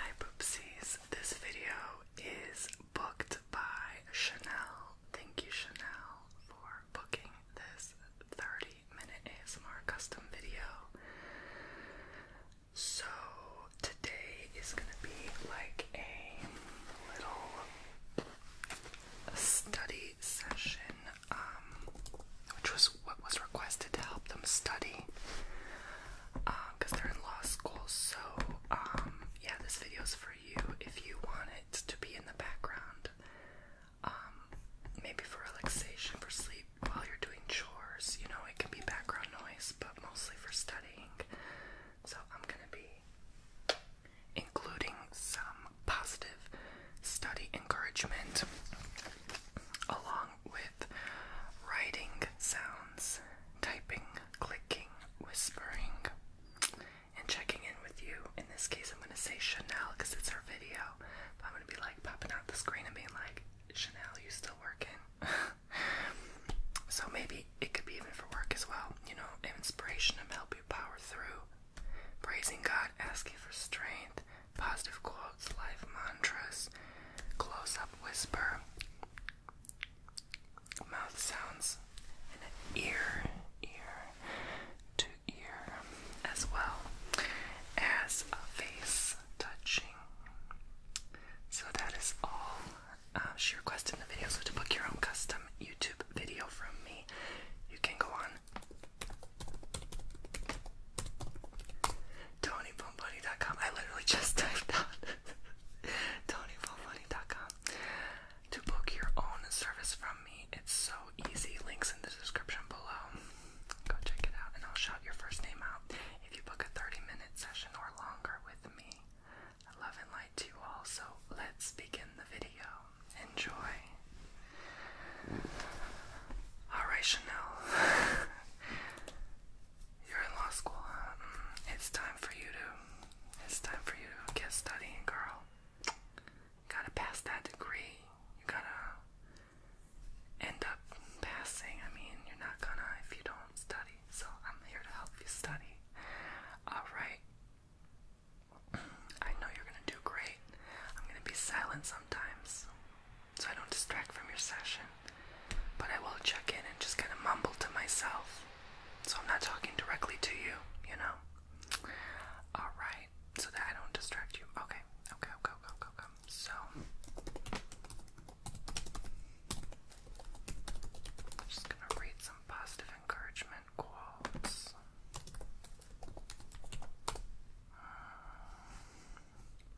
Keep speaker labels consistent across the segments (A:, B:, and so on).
A: Hi Poopsies, this video is booked by Chanel. Thank you Chanel for booking this 30 minute ASMR custom video. So today is gonna be like a little study session um, which was what was requested to help them study because uh, they're in law school. So, um, yeah, this video is for you if you want it to be in the background. Um, maybe for relaxation, for sleep while you're doing chores. You know, it can be background noise, but mostly for studying. So, I'm gonna be including some positive study encouragement along with writing sounds, typing, clicking, whispering, and checking in with you. In this case, I'm going to say Chanel because it's our video. I'm going to be like popping out the screen and being like, Chanel, you still working? so maybe it could be even for work as well. You know, inspiration to help you power through. Praising God, asking for strength, positive quotes, life mantras, close up whisper, mouth sounds, and an ear, ear to ear, as well as a face touching. So that is all. Uh, she requested in the video, so to book your own custom YouTube video from me, you can go on TonyBombunny.com. I literally just typed out TonyBombunny.com to book your own service from me. It's so easy. Links in the description below. Go check it out, and I'll shout your first name out if you book a 30-minute session or longer with me. love and light to you all, so let's begin the video. Enjoy. All right, Chanel. You're in law school. It's time for you to. It's time for you to get studying, girl. gotta pass that degree. You gotta end up passing. I mean, you're not gonna if you don't study. So I'm here to help you study. All right. I know you're gonna do great. I'm gonna be silent sometimes so I don't distract from your session. But I will check in and just kind of mumble to myself. So I'm not talking directly to you, you know? Alright, so that I don't distract you. Okay, okay, okay, okay, okay, okay. So. just gonna read some positive encouragement quotes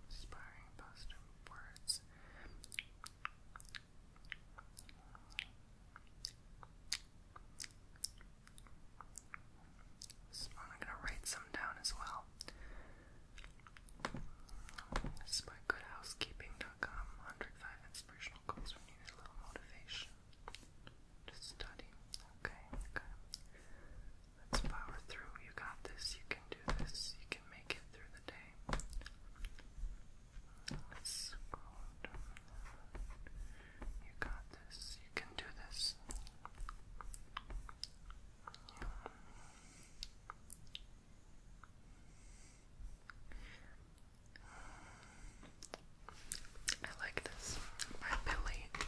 A: inspiring positive words. I'm gonna write some down as well. This 105 inspirational quotes when you a little motivation to study. Okay, okay. Let's power through. You got this. You can do this. You can make it through the day. Let's scroll You got this. You can do this. I like this by Billy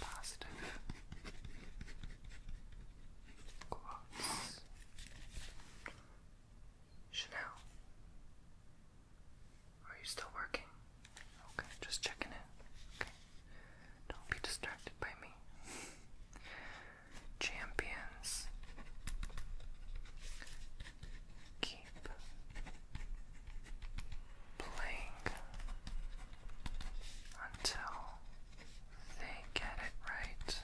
A: positive quotes. Chanel, are you still working? Okay, just checking in. Okay, don't be distracted by me. Champions keep playing until they get it right.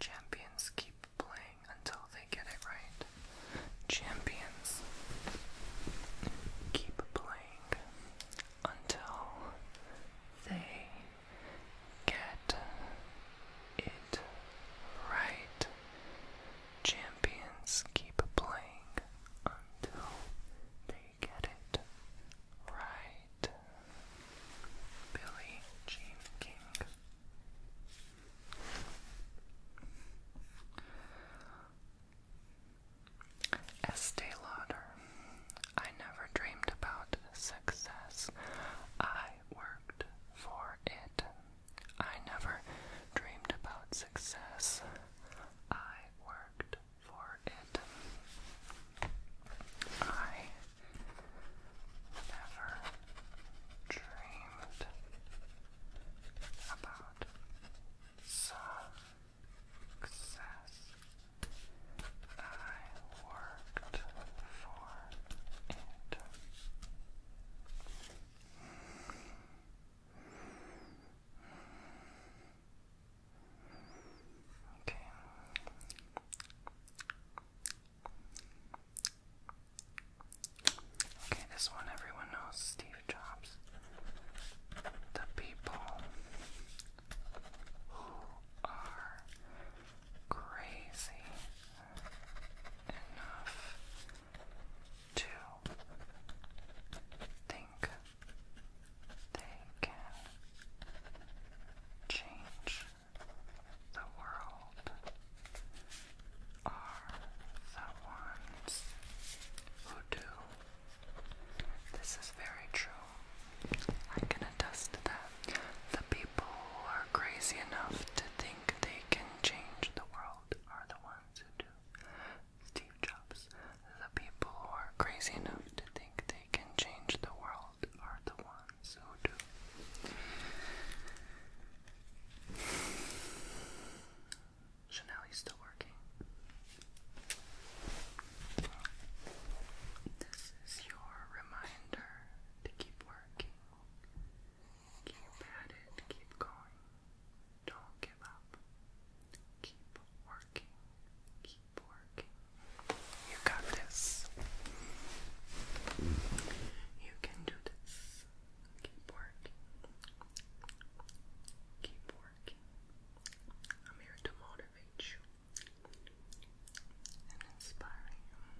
A: Champions keep playing until they get it right. Champions keep playing until they get it right. Champions keep playing until they get it right. Billie Jean King. Estee Lauder. I never dreamed about success. I worked for it. I never dreamed about success. I worked for it. I never dreamed about success. I worked for it. Okay. Okay, this one everyone knows Steve Jobs. The people who are crazy enough to think they can change the world are the ones who do. This is very true. I can attest that. The people who are crazy enough to think they can change the world are the ones who do. Steve Jobs. The people who are crazy enough to think they can change the world are the ones who do. Chanel is still working. This is your reminder to keep working. Keep at it, keep going. Don't give up. Keep working, keep working. You got this. You can do this. Keep working. Keep working. I'm here to motivate you and inspire you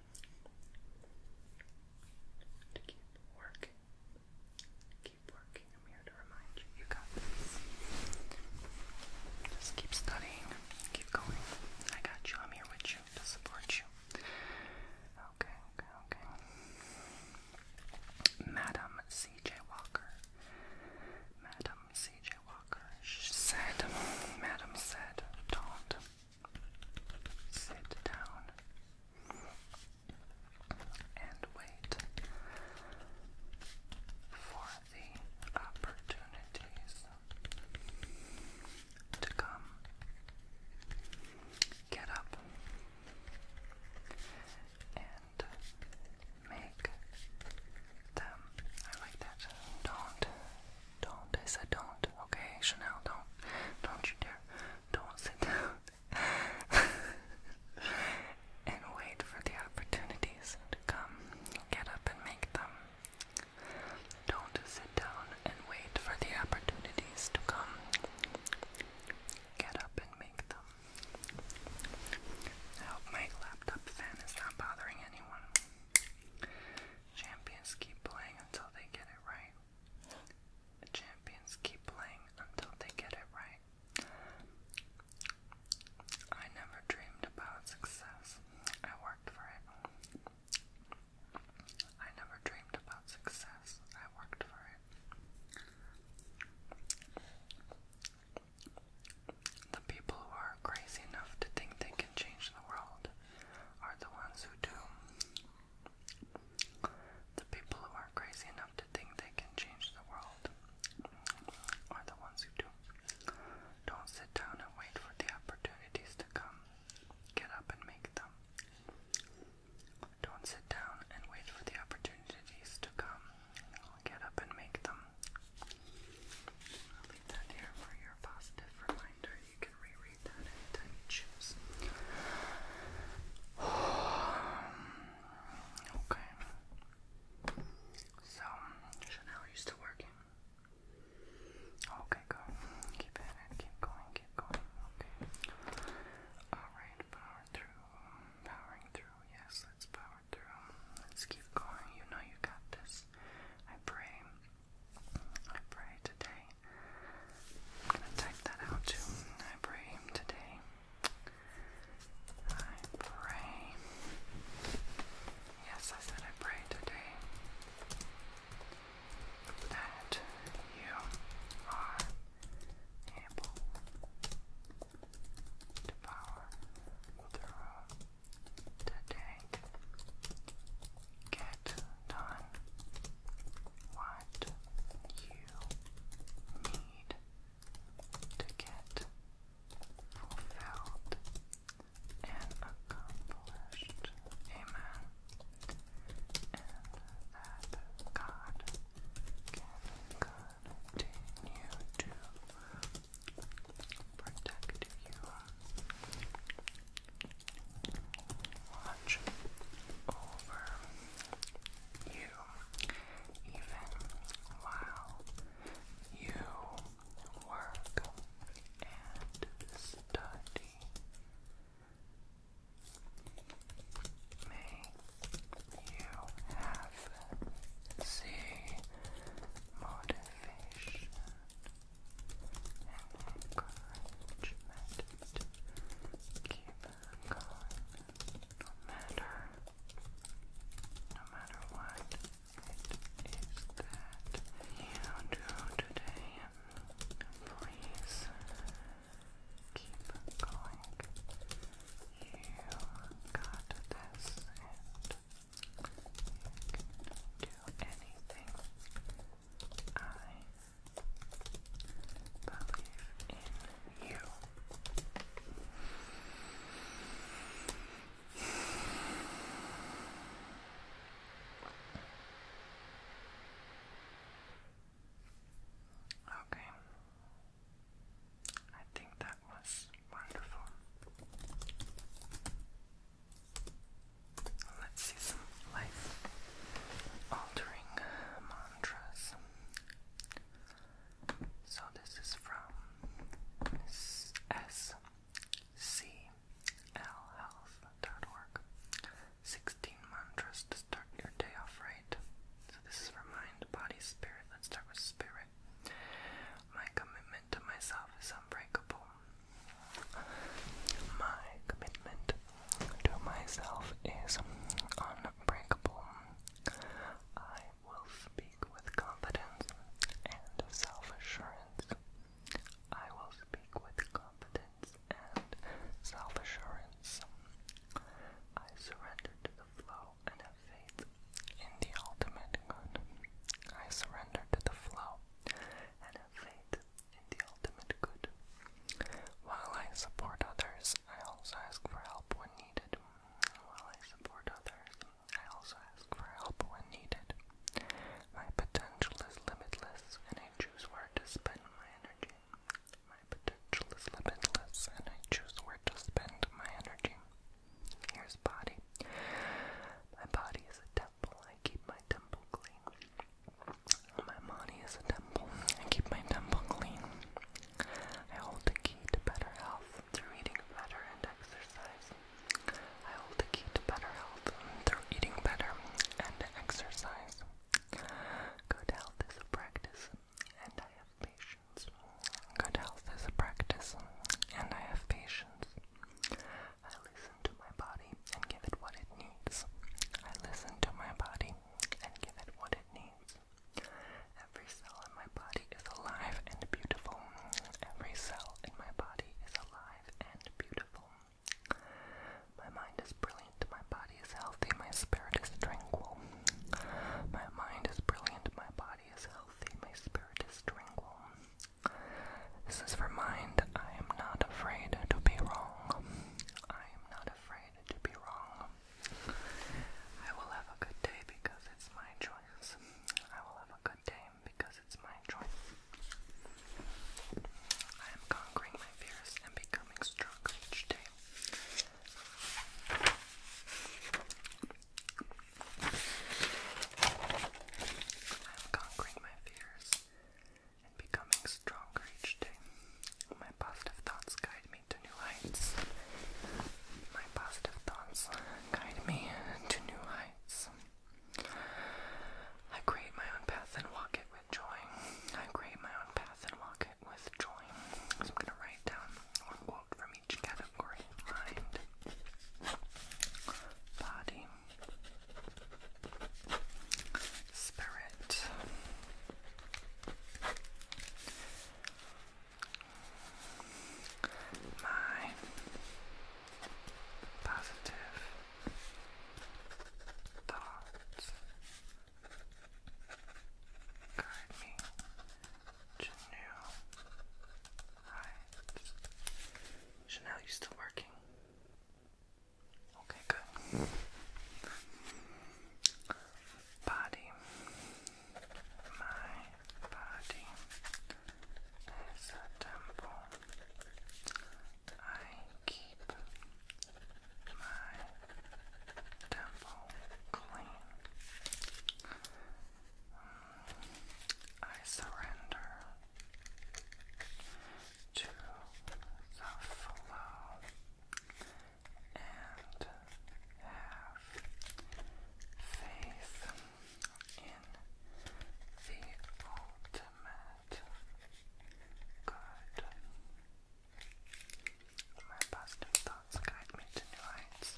A: to keep working keep working. I'm here to remind you, you got this. Just keep studying, keep going. I got you. I'm here with you to support you. Okay, okay, okay. Madam C.J. Walker. Madam C.J. Walker. She said, Madam said, don't sit down and wait for the opportunities to come. Get up and make them. I like that. Don't, don't. I said don't. Okay, Chanel, don't, don't you dare. Don't sit down. and wait for the opportunities to come. Get up and make them. Don't sit down and wait for the opportunities to come. Get up and make them. I hope my laptop fan is not bothering anyone. Champions keep playing until they get it right. Champions keep playing until they get it right. I never dreamed about success. I worked for it. I never dreamed about success. I worked for it. The people who are crazy enough to think they can change the world are the ones who do. The people who are crazy enough to think they can change the world are the ones who do. Don't sit down and wait for the opportunities to come. Get up and make them. Don't sit down and wait for the opportunities to come. Get up and make them. leave that here for your positive reminder. You can reread that anytime you choose. Um, Okay. So, Chanel, you still working? Okay, go. Keep it. Keep going. Keep going. Okay. Alright, power through. Powering through. Yes, let's power through. Let's keep going. You know you got this. I pray. I pray today. I'm gonna type that out too. I pray today I pray. Yes, I said I pray today that you are able to power through today. Get done what you need to get fulfilled and accomplished. Amen. And that God can continue to protect you. Watch over you even while you work and study. May you have the motivation and encouragement to keep going no matter no matter what it is that you do today, please keep going. You got this and do anything. I believe in you. Okay. I think that was wonderful. Let's see some life altering mantras. So this is from sclhealth.org. 16 mantras to start your day off right. So this is for mind, body, spirit. Let's start with spirit. My commitment to myself is unbreakable. My commitment to myself is unbreakable. I will speak with confidence and self assurance. I will speak with confidence and self assurance. I surrender to the flow and have faith in the ultimate good. I surrender to the flow and have faith in the ultimate good. While I support others, I also ask for help when needed. While I support others, I also ask for help when needed. My potential is limitless, and I choose where to spend my energy. My potential is limitless, and I choose where to spend my energy. Here's body. My body is a temple. I keep my temple clean. My money is a temple. I keep my temple clean. I hold the key to better health through eating better and exercise. I hold the key to better health through eating better and exercise. Good health is a practice, and I have patience. Good health is a practice, and I have patience. I listen to my body and give it what it needs. I listen to my body and give it what it needs. Every cell in my body is alive and beautiful. Every cell in my body is alive and beautiful. My mind is brilliant, my body is healthy, my spirit is tranquil. My mind is brilliant, my body is healthy, my spirit is tranquil. This is for mind. I am not afraid to be wrong. I am not afraid to be wrong. I will have a good day because it's my choice. I will have a good day because it's my choice. I am conquering my fears and becoming stronger each day. I am conquering my fears and becoming stronger each day. My positive thoughts guide guide me to new heights. My positive thoughts guide me to new heights. I create my own path and walk it with joy. I create my own path and walk it with joy. I'm going to write down one quote from each category mind, body, spirit, my positive thoughts guide me to new heights. Chanel, you still working? Okay, good body. My body is a temple. I keep my temple clean. Mm, I surrender to the flow and have faith in the ultimate good. My positive thoughts guide me to new heights.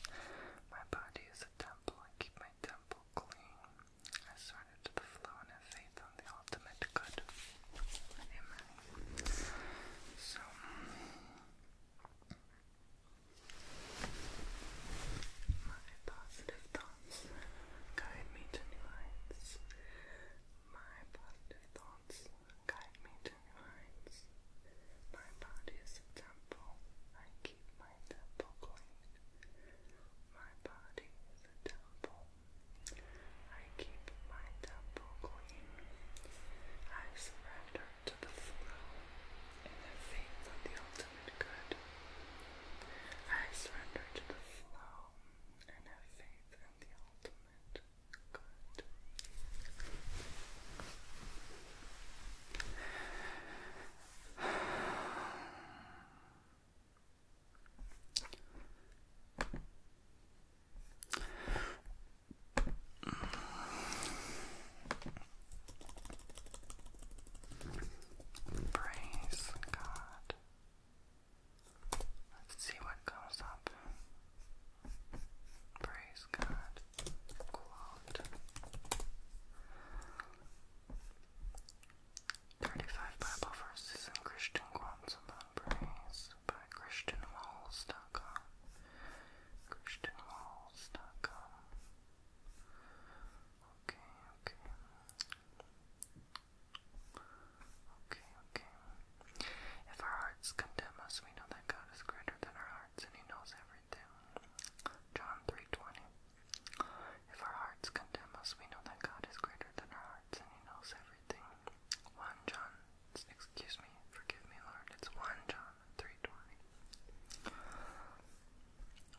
A: My body is a temple. I keep my temple clean. I surrender to the flow and have faith on the ultimate good. So, my positive thoughts guide me to new heights. My positive thoughts guide me to new heights. My body is a temple. I keep my temple clean. My body is a temple. I keep my temple clean. I surrender to the flow and their faith of the ultimate good. I surrender to the flow and have faith in the ultimate good. Praise God. Let's see what comes up. Praise God. Quote. 35 Bible verses and Christian quotes about praise by ChristianWalls.com. ChristianWalls.com. Okay, okay. Okay, okay. If our hearts condemn us, we know that God is greater than our hearts and He knows everything. John 3.20 If our hearts condemn us, we know that God is greater than our hearts and He knows everything. 1 John, excuse me, forgive me Lord, it's 1 John 320.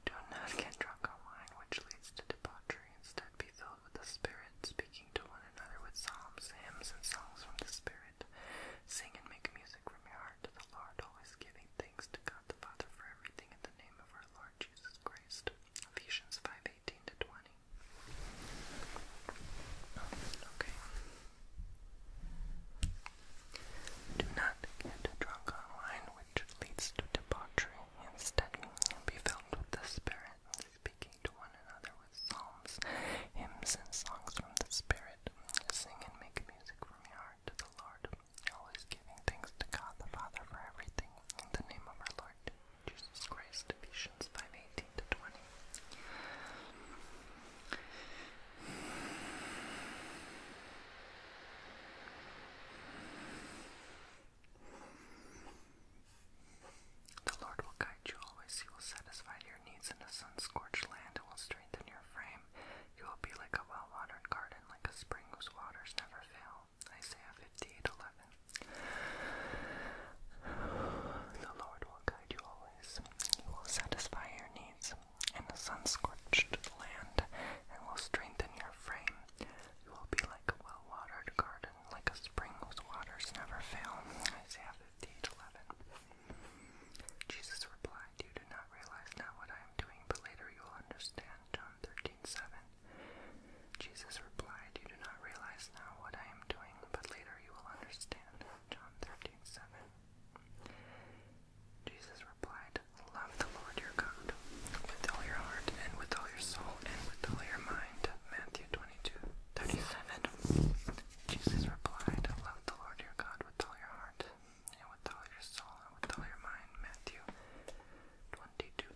A: Do not get drunk on wine, which leads to debauchery. Instead, be filled with the Spirit, speaking to one another with psalms, hymns, and songs from the Spirit. Sing and make music from your heart to the Lord, always giving thanks to God the Father for everything in the name of our Lord Jesus Christ. Ephesians 5 to 20. Okay. Do not get drunk on which leads to debauchery. Instead, be filled with the Spirit, speaking to one another with psalms, hymns, and songs from the Spirit. Sing and make music from your heart to the Lord, always giving thanks to God the Father for everything. In the name of our Lord Jesus Christ, Ephesians 5 to 20. The Lord will guide you always. He will satisfy your needs in a sun scorched land and will strengthen your frame. You will be like a well watered garden, like a spring whose waters never fail. Isaiah 58 11. The Lord will guide you always. He will satisfy your needs in the sun-scorched land and will strengthen your frame. You will be like a well-watered garden, like a spring whose waters never fail. Isaiah 58:11. Jesus replied, You do not realize now what I am doing, but later you will understand. John 13:7. Jesus replied, You do not realize now what I am doing, but later you will understand. John 13:7. Jesus replied, Love the Lord your God with all your heart and with all your soul and with all your mind. Matthew 22 Jesus replied, Love the Lord your God with all your heart and with all your soul and with all your mind. Matthew 22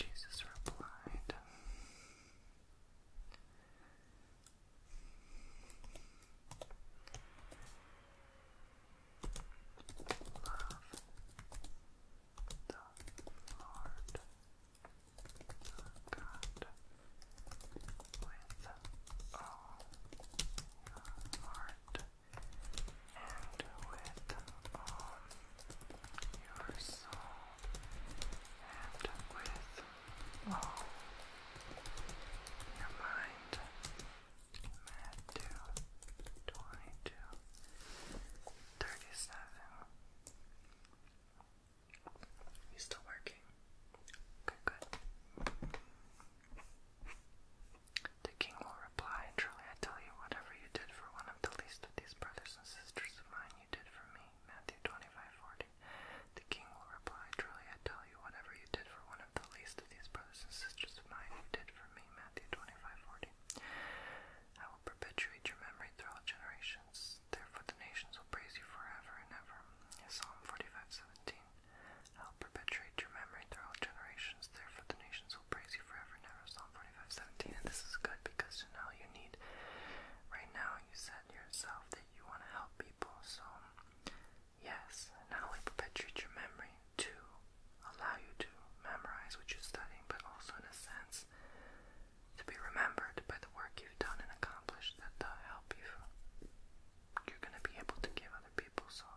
A: Jesus replied, Love the Lord God with all your heart and with all your soul and with Oh. Never mind. Mad 2, You still working? Good, good. The king will reply, Truly I tell you, whatever you did for one of the least of these brothers and sisters of mine, you did for me. Matthew 25, the king will reply, Truly I tell you, whatever you did for one of the least of these brothers and sisters of mine, you did for me. Matthew 25:40. I will perpetuate your memory throughout generations. Therefore the nations will praise you forever and ever. Psalm 45:17. I will perpetuate your memory throughout generations. Therefore the nations will praise you forever and ever. Psalm 45:17. And this is good because you know you need right now. You said yourself that you want to help people, so yes, not only perpetuate your memory to allow you to memorize what you're studying, but also in a sense to be remembered by the work you've done and accomplished that will uh, help you. You're going to be able to give other people, so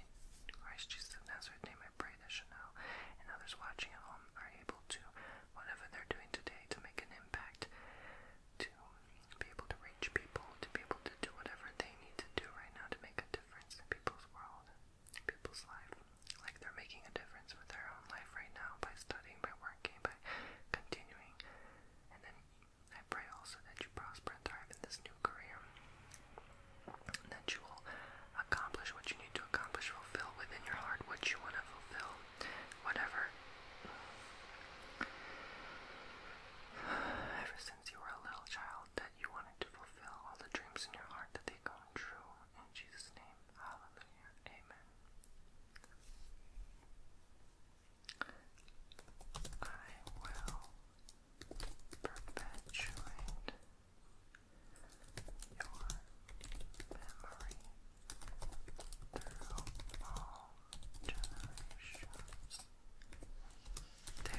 A: in Christ Jesus of name, I pray that Chanel and others watching at home are able to, whatever they're doing today, to make an impact to be able to reach people, to be able to do whatever they need to do right now to make a difference in people's world, in people's life. Like they're making a difference with their own life right now by studying, by working, by continuing. And then I pray also that you prosper and thrive in this new career. And that you will accomplish what you need to accomplish, fulfill within your heart what you want to fulfill, whatever Ever since you were a little child, that you wanted to fulfill all the dreams in your heart that they come true. In Jesus' name, hallelujah, amen. I will perpetuate your memory through all Therefore, the nations will praise you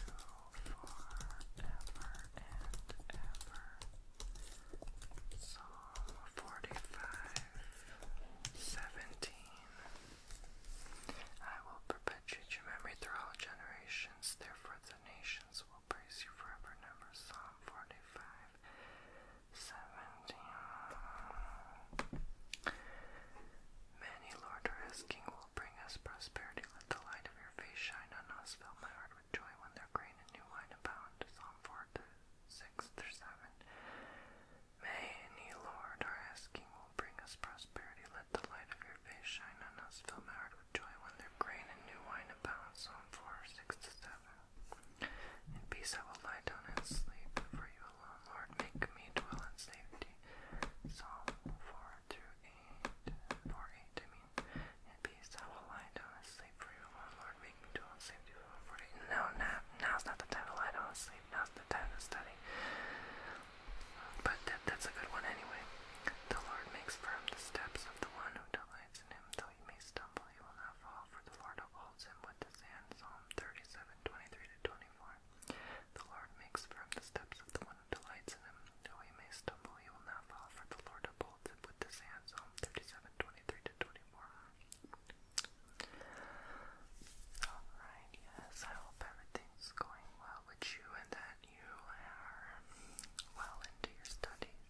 A: forever and ever. Psalm 45 I will perpetuate your memory through all generations, therefore, the nations will praise you forever and Psalm 45, 17. Lord, are asking will bring us prosperity. Let the light of your face shine on us. Fill my heart with joy when their grain and new wine abound. Psalm 4, to 6 through 7. Many, Lord, are asking will bring us prosperity. Let the light of your in peace I will lie down and sleep, for you alone, Lord, make me dwell in safety. Psalm 4 through In peace I will lie down and sleep, for you alone, Lord, make me dwell in safety. Psalm 48. No, now, now's not the time to lie down and sleep, now's the time to study. But that's a good one anyway. The Lord makes firm the steps of the one who delights delights in him, though he may stumble, he will not fall, for the Lord upholds him with his hand. Psalm 37, 23 24. The Lord makes firm the steps of the one who delights in him, though he may stumble, he will not fall, for the Lord upholds him with his hand. Psalm 37, 23 24. Alright, yes, I hope everything's going well with you and that you are well into your studies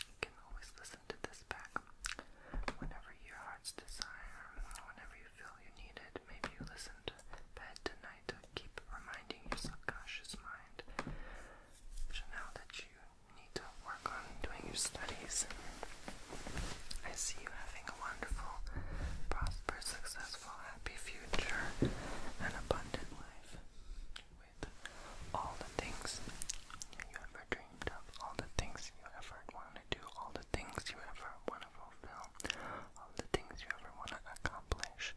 A: you can always listen to this back whenever your heart's desire, whenever you feel you need it. Maybe you listen to bed tonight to keep reminding your subconscious mind to that you need to work on doing your studies. I see you having a wonderful, prosperous, successful, happy future, and abundant life all the things you ever dreamed of, all the things you ever want to do, all the things you ever want to fulfill, all the things you ever want to accomplish.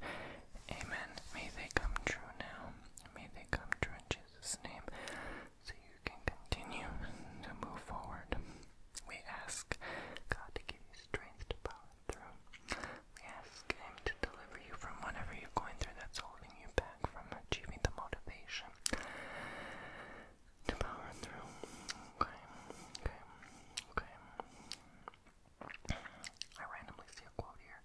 A: Amen. May they come true now. May they come true in Jesus' name so you can continue to move forward. We ask God to give you strength to power through. We ask to deliver you from whatever you're going through that's holding you back from achieving the motivation to power through. Okay, okay, okay. I randomly see a quote here.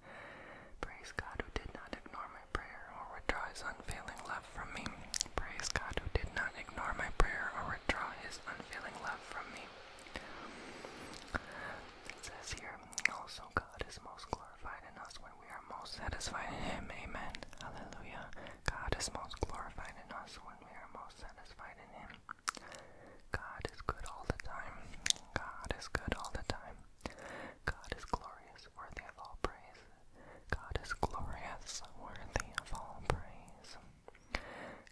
A: Praise God who did not ignore my prayer or withdraw his unfailing love from me. Praise God who did not ignore my prayer or withdraw his unfailing love from me. It says here, also God is most glorious in us when we are most satisfied in Him. Amen. Hallelujah. God is most glorified in us when we are most satisfied in Him. God is good all the time. God is good all the time. God is glorious, worthy of all praise. God is glorious, worthy of all praise.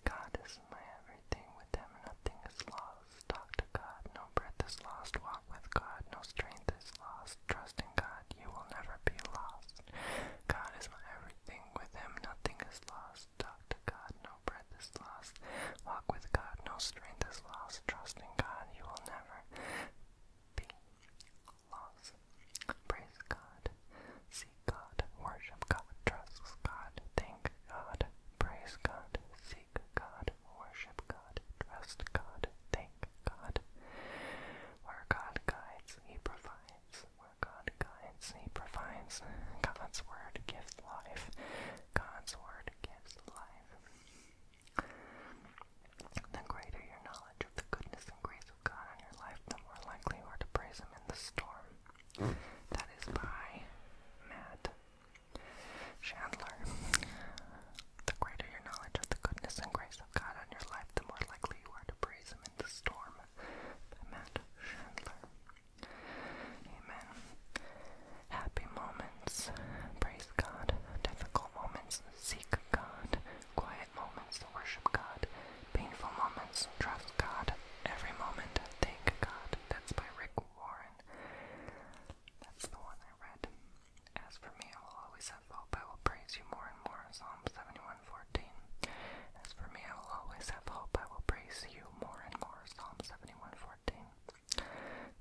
A: God is my everything, with Him nothing is lost talk to God, no breath is lost, walk with God, no strength is lost, trust in God, you will never be lost. God is my everything, with him nothing is lost, talk to God, no breath is lost, walk with God, no strength is lost, trust in God, you will never be lost. Praise God, seek God, worship God, trust God, thank God, praise God, seek God, worship God, trust God, thank God. Where God guides, He provides. Where God guides, He provides. God's Word gives life. God's Word gives life. The greater your knowledge of the goodness and grace of God in your life, the more likely you are to praise Him in the storm. Hmm. That is by Matt Chandler, the greater your knowledge of the goodness and grace of God on your life, the more likely you are to praise Him in the storm. By Chandler. Amen. Happy moments, praise God. Difficult moments, seek God. Quiet moments, worship God. Painful moments, trust God. Every moment, thank God. That's by Rick Warren. That's the one I read. As for me, I will always have hope. I will praise you more and more. Psalm 71:14. As for me, I will always have hope. I will praise you more and more. Psalm 71:14.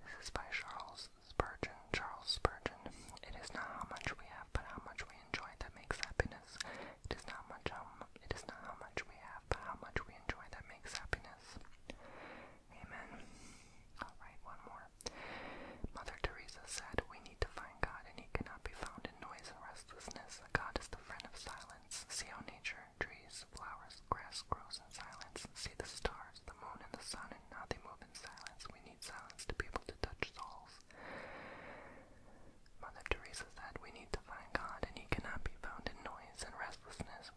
A: This is by Charles Spurgeon. Charles Spurgeon. It is not how much we have, but how much we enjoy that makes happiness. It is not much. Um, it is not how much we have, but how much we enjoy that makes happiness. Amen. Alright, one more. Mother Teresa said, We need to find God, and He cannot be found in noise and restlessness. God is the friend of silence. See how nature, trees, flowers, grass grows in silence. See the stars, the moon, and the sun, and how they move in silence. We need silence to be able to touch souls. Mother Teresa said, We need to find God, and He cannot be found in noise and restlessness.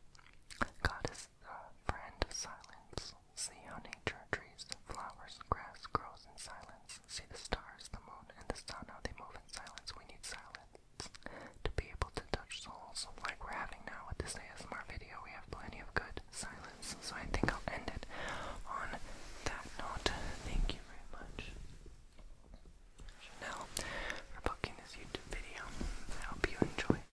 A: God is uh, friend of silence. See how nature, trees, flowers, grass grows in silence. See the stars, the moon, and the sun, how they move in silence. We need silence to be able to touch souls, like we're having now with this ASMR video. We have plenty of good silence, so I think I'll end it on that note. Thank you very much, Chanel, for booking this YouTube video. I hope you enjoy.